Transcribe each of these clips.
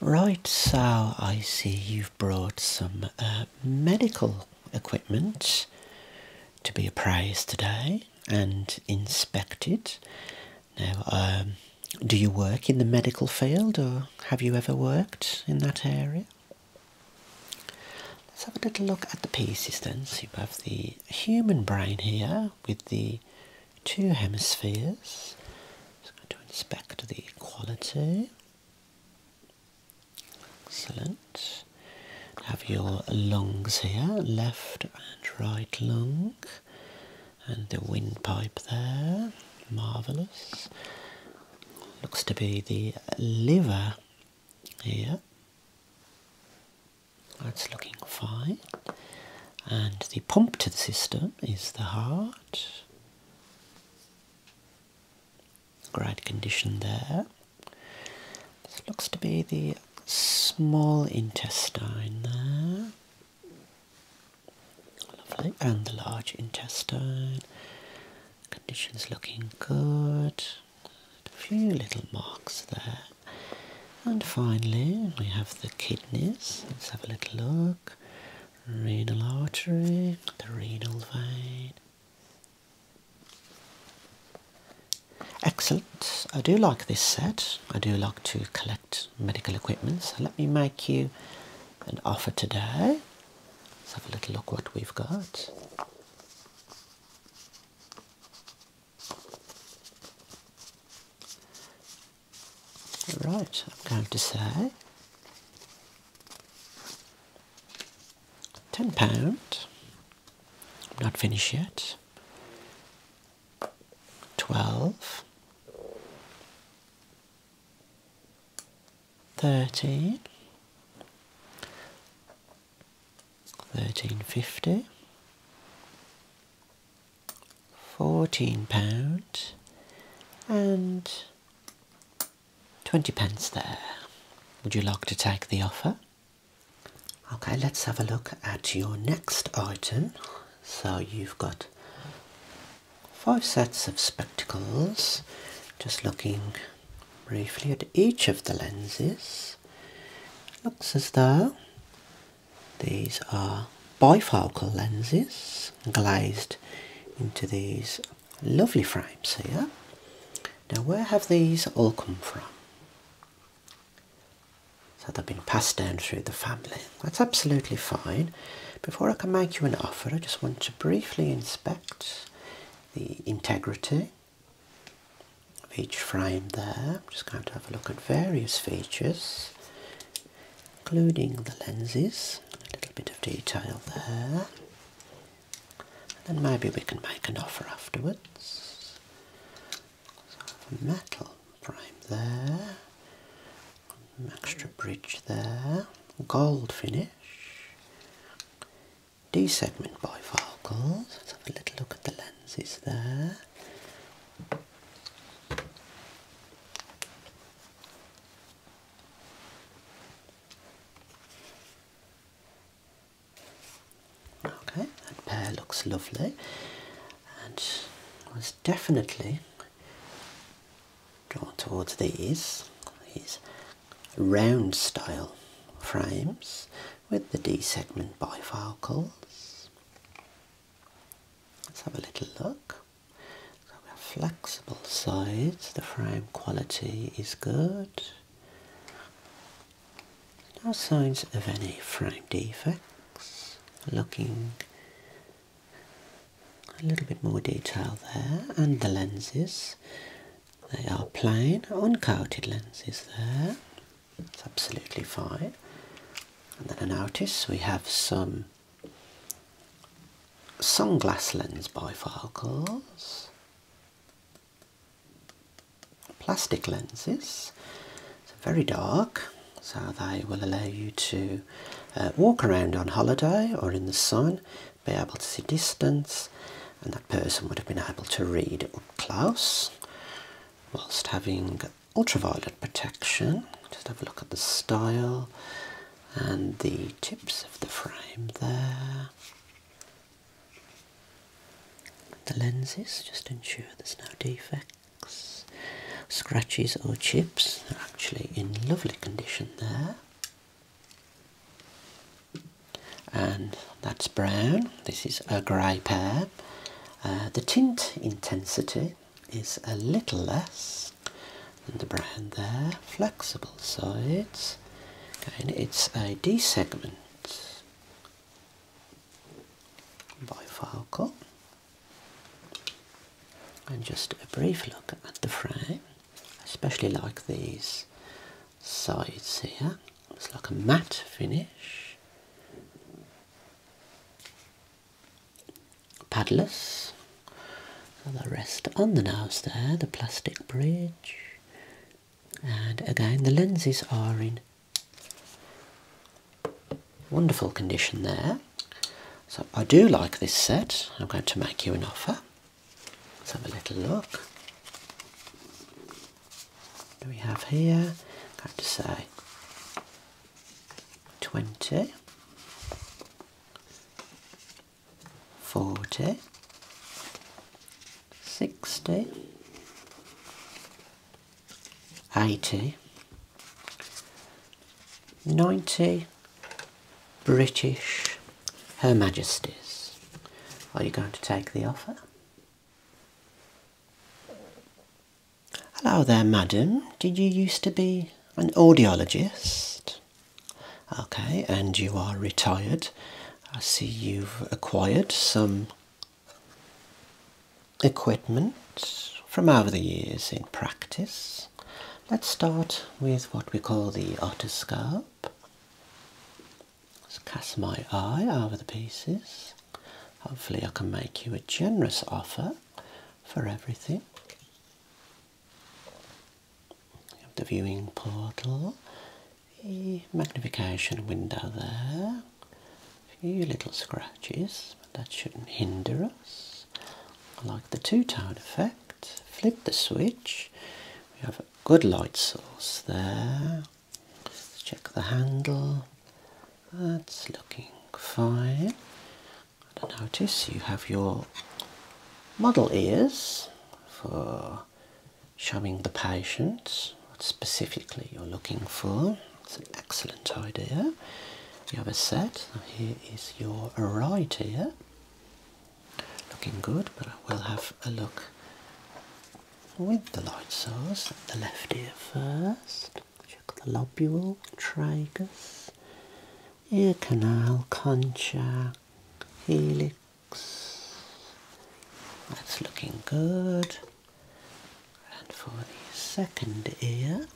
Right, so I see you've brought some uh, medical equipment to be appraised today and inspected. Now, um, do you work in the medical field or have you ever worked in that area? Let's have a little look at the pieces then. So you have the human brain here with the two hemispheres just to inspect the quality. Excellent. Have your lungs here, left and right lung, and the windpipe there. Marvellous. Looks to be the liver here. That's looking fine and the pump to the system is the heart. Great condition there. This looks to be the small intestine there. Lovely, and the large intestine. Condition's looking good. A few little marks there. And finally, we have the kidneys. Let's have a little look. Renal artery, the renal vein. Excellent. I do like this set. I do like to collect medical equipment. So let me make you an offer today. Let's have a little look what we've got. Right, I'm going to say ten pound. Not finished yet. Twelve. Thirteen. Thirteen fifty. 14 pound and 20 pence there. Would you like to take the offer? Okay, let's have a look at your next item. So you've got five sets of spectacles. Just looking briefly at each of the lenses. Looks as though these are bifocal lenses glazed into these lovely frames here. Now where have these all come from? So they've been passed down through the family. That's absolutely fine. Before I can make you an offer, I just want to briefly inspect the integrity of each frame there. I'm just going to have a look at various features, including the lenses, a little bit of detail there. And maybe we can make an offer afterwards. So a metal frame there, extra bridge there, gold finish. D-segment bifocals. Let's have a little look at the lenses there. Okay, that pair looks lovely and was definitely drawn towards these, these round style frames with the D segment bifocals. Let's have a little look. we have flexible sides, the frame quality is good. No signs of any frame defects. Looking a little bit more detail there and the lenses. They are plain, uncoated lenses there. It's absolutely fine. And then I notice we have some sunglass lens bifocals, plastic lenses, so very dark, so they will allow you to uh, walk around on holiday or in the sun, be able to see distance, and that person would have been able to read up close whilst having ultraviolet protection. Just have a look at the style and the tips of the frame there. The lenses just ensure there's no defects, scratches or chips. They're actually in lovely condition there and that's brown. This is a grey pair. Uh, the tint intensity is a little less than the brown there. Flexible sides. Again, it's a D segment by Falco. And just a brief look at the frame. especially like these sides here. It's like a matte finish. Paddlers. the rest on the nose there, the plastic bridge. And again, the lenses are in wonderful condition there. So I do like this set. I'm going to make you an offer. Let's have a little look do we have here? I have to say 20, 40, 60, 80, 90 British Her Majesties. Are you going to take the offer? Hello there, madam. Did you used to be an audiologist? Okay, and you are retired. I see you've acquired some equipment from over the years in practice. Let's start with what we call the otoscope. Let's cast my eye over the pieces. Hopefully, I can make you a generous offer for everything. You have the viewing portal, the magnification window there, a few little scratches, but that shouldn't hinder us. I like the two tone effect. Flip the switch, good light source there. Let's check the handle. That's looking fine. notice you have your model ears for showing the patient what specifically you're looking for. It's an excellent idea. You have a set. Here is your right ear looking good, but I will have a look with the light source at the left ear first. Check the lobule, tragus, ear canal, concha, helix. That's looking good. And for the second ear,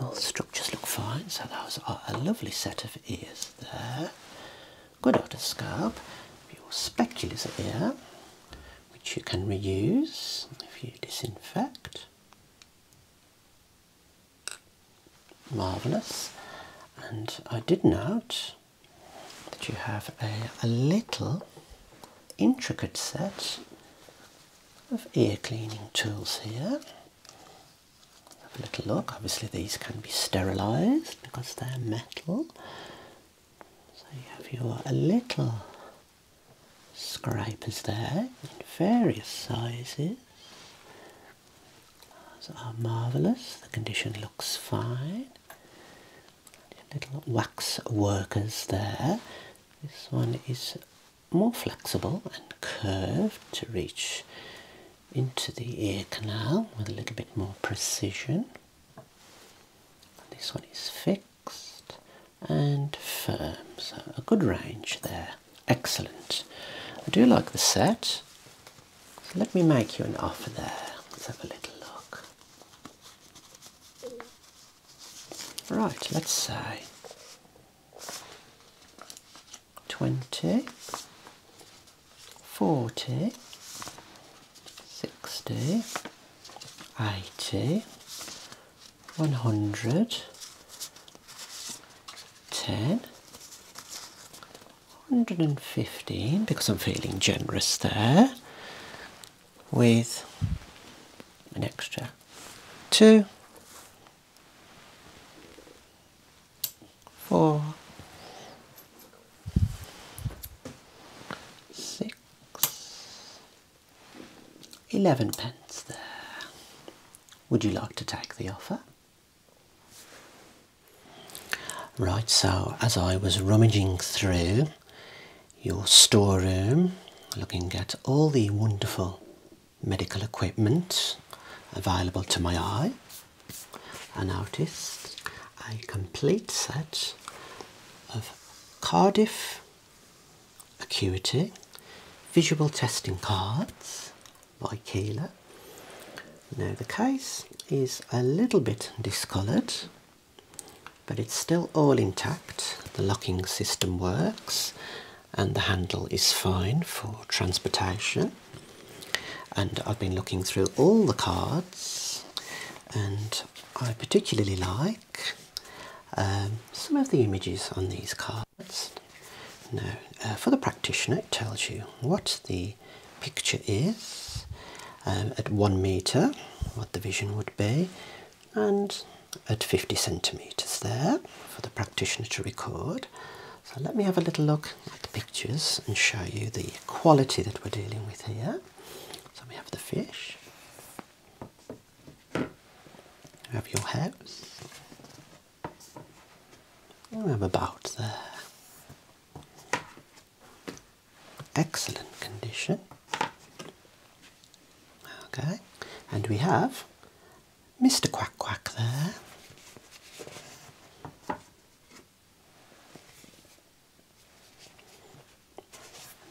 all the structures look fine, so those are a lovely set of ears there. Good outer scalp, your specular here, which you can reuse if you disinfect. Marvellous, and I did note that you have a, a little intricate set of ear cleaning tools here. Have a little look. Obviously, these can be sterilised because they're metal. So you have your little scrapers there in various sizes. Those are marvellous. The condition looks fine. little wax workers there this one is more flexible and curved to reach into the ear canal with a little bit more precision. This one is fixed and firm, so a good range there. Excellent. I do like the set. let me make you an offer there. Let's have a little look. Right, let's say 20, 40, 60, 80, 100, 10, 115 because I'm feeling generous there with an extra two, four, six, eleven pence there. Would you like to take the offer? Right, so as I was rummaging through your storeroom, looking at all the wonderful medical equipment available to my eye. An artist, a complete set of Cardiff Acuity visual testing cards by Keeler. Now the case is a little bit discoloured but it's still all intact. The locking system works and the handle is fine for transportation. And I've been looking through all the cards and I particularly like um, some of the images on these cards. Now, uh, for the practitioner, it tells you what the picture is um, at one meter, what the vision would be, and at 50 centimeters there for the practitioner to record. So let me have a little look at the pictures and show you the quality that we're dealing with here. So we have the fish, we have your house, and we have a there excellent condition. Okay, and we have Mr. Quack Quack there.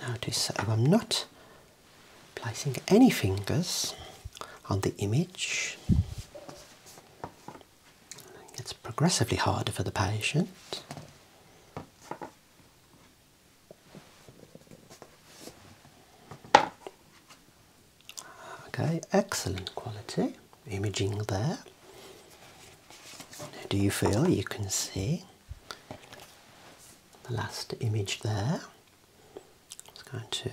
Notice that I'm not placing any fingers on the image. It's progressively harder for the patient. Okay, excellent quality imaging there. Do you feel you can see the last image there? It's going to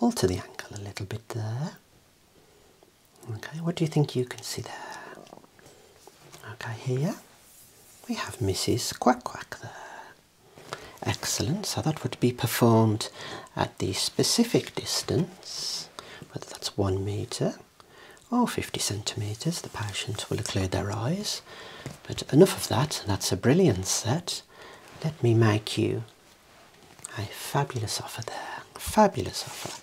alter the angle a little bit there. Okay, what do you think you can see there? Okay, here we have Mrs. Quack Quack there. Excellent, so that would be performed at the specific distance, whether that's one metre or 50 centimetres. The patient will have cleared their eyes. But enough of that, that's a brilliant set. Let me make you a fabulous offer there. Fabulous offer.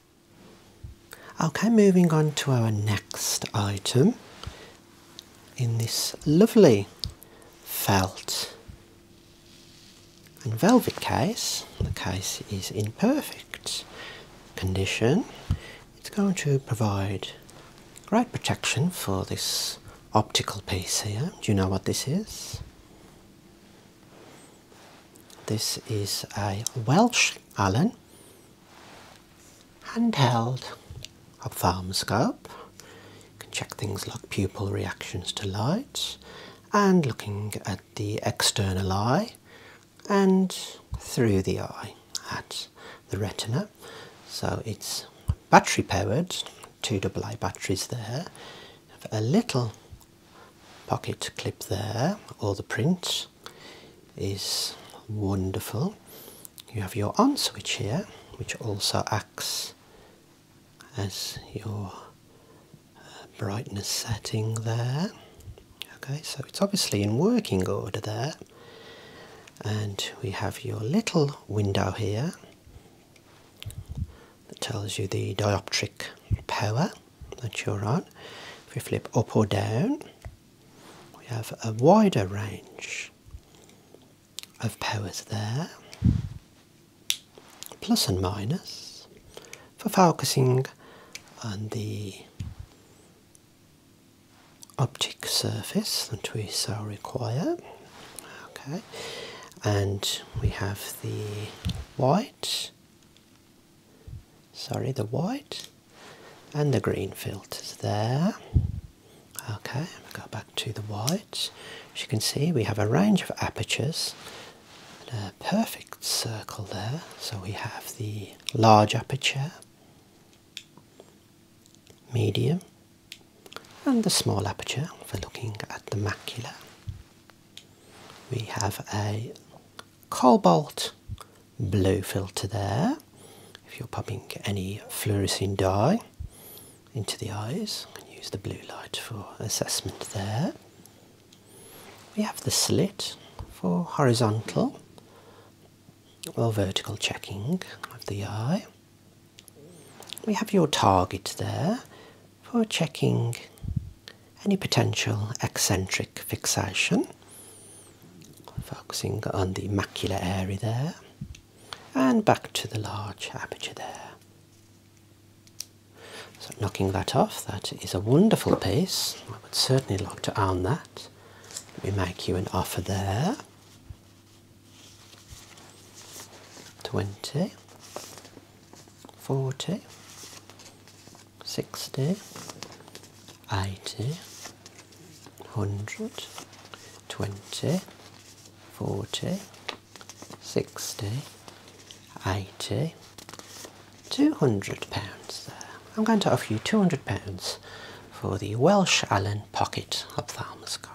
Okay, moving on to our next item in this lovely felt and velvet case. The case is in perfect condition. It's going to provide great protection for this optical piece here. Do you know what this is? This is a Welsh Allen handheld ophthalmoscope. You can check things like pupil reactions to light and looking at the external eye and through the eye at the retina. So it's battery powered, two AA batteries there. a little pocket clip there, or the print is wonderful. You have your on switch here, which also acts as your uh, brightness setting there. Okay, so it's obviously in working order there, and we have your little window here that tells you the dioptric power that you're on. If we flip up or down, we have a wider range of powers there, plus and minus, for focusing on the optic surface that we so require. Okay, and we have the y sorry the white and the green filters there okay we go back to the white as you can see we have a range of apertures a perfect circle there so we have the large aperture medium and the small aperture for looking at the macula we have a cobalt blue filter there. If you're pumping any fluorescein dye into the eyes, you use the blue light for assessment there. We have the slit for horizontal or vertical checking of the eye we have your target there for checking any potential eccentric fixation, focusing on the macular area there, and back to the large aperture there. So, knocking that off, that is a wonderful piece. I would certainly like to own that. Let me make you an offer there. 20 40, 60, 80, 100, 20, 40, 60, 80, 200 pounds I'm going to offer you 200 pounds for the Welsh Allen pocket ophthalmoscope.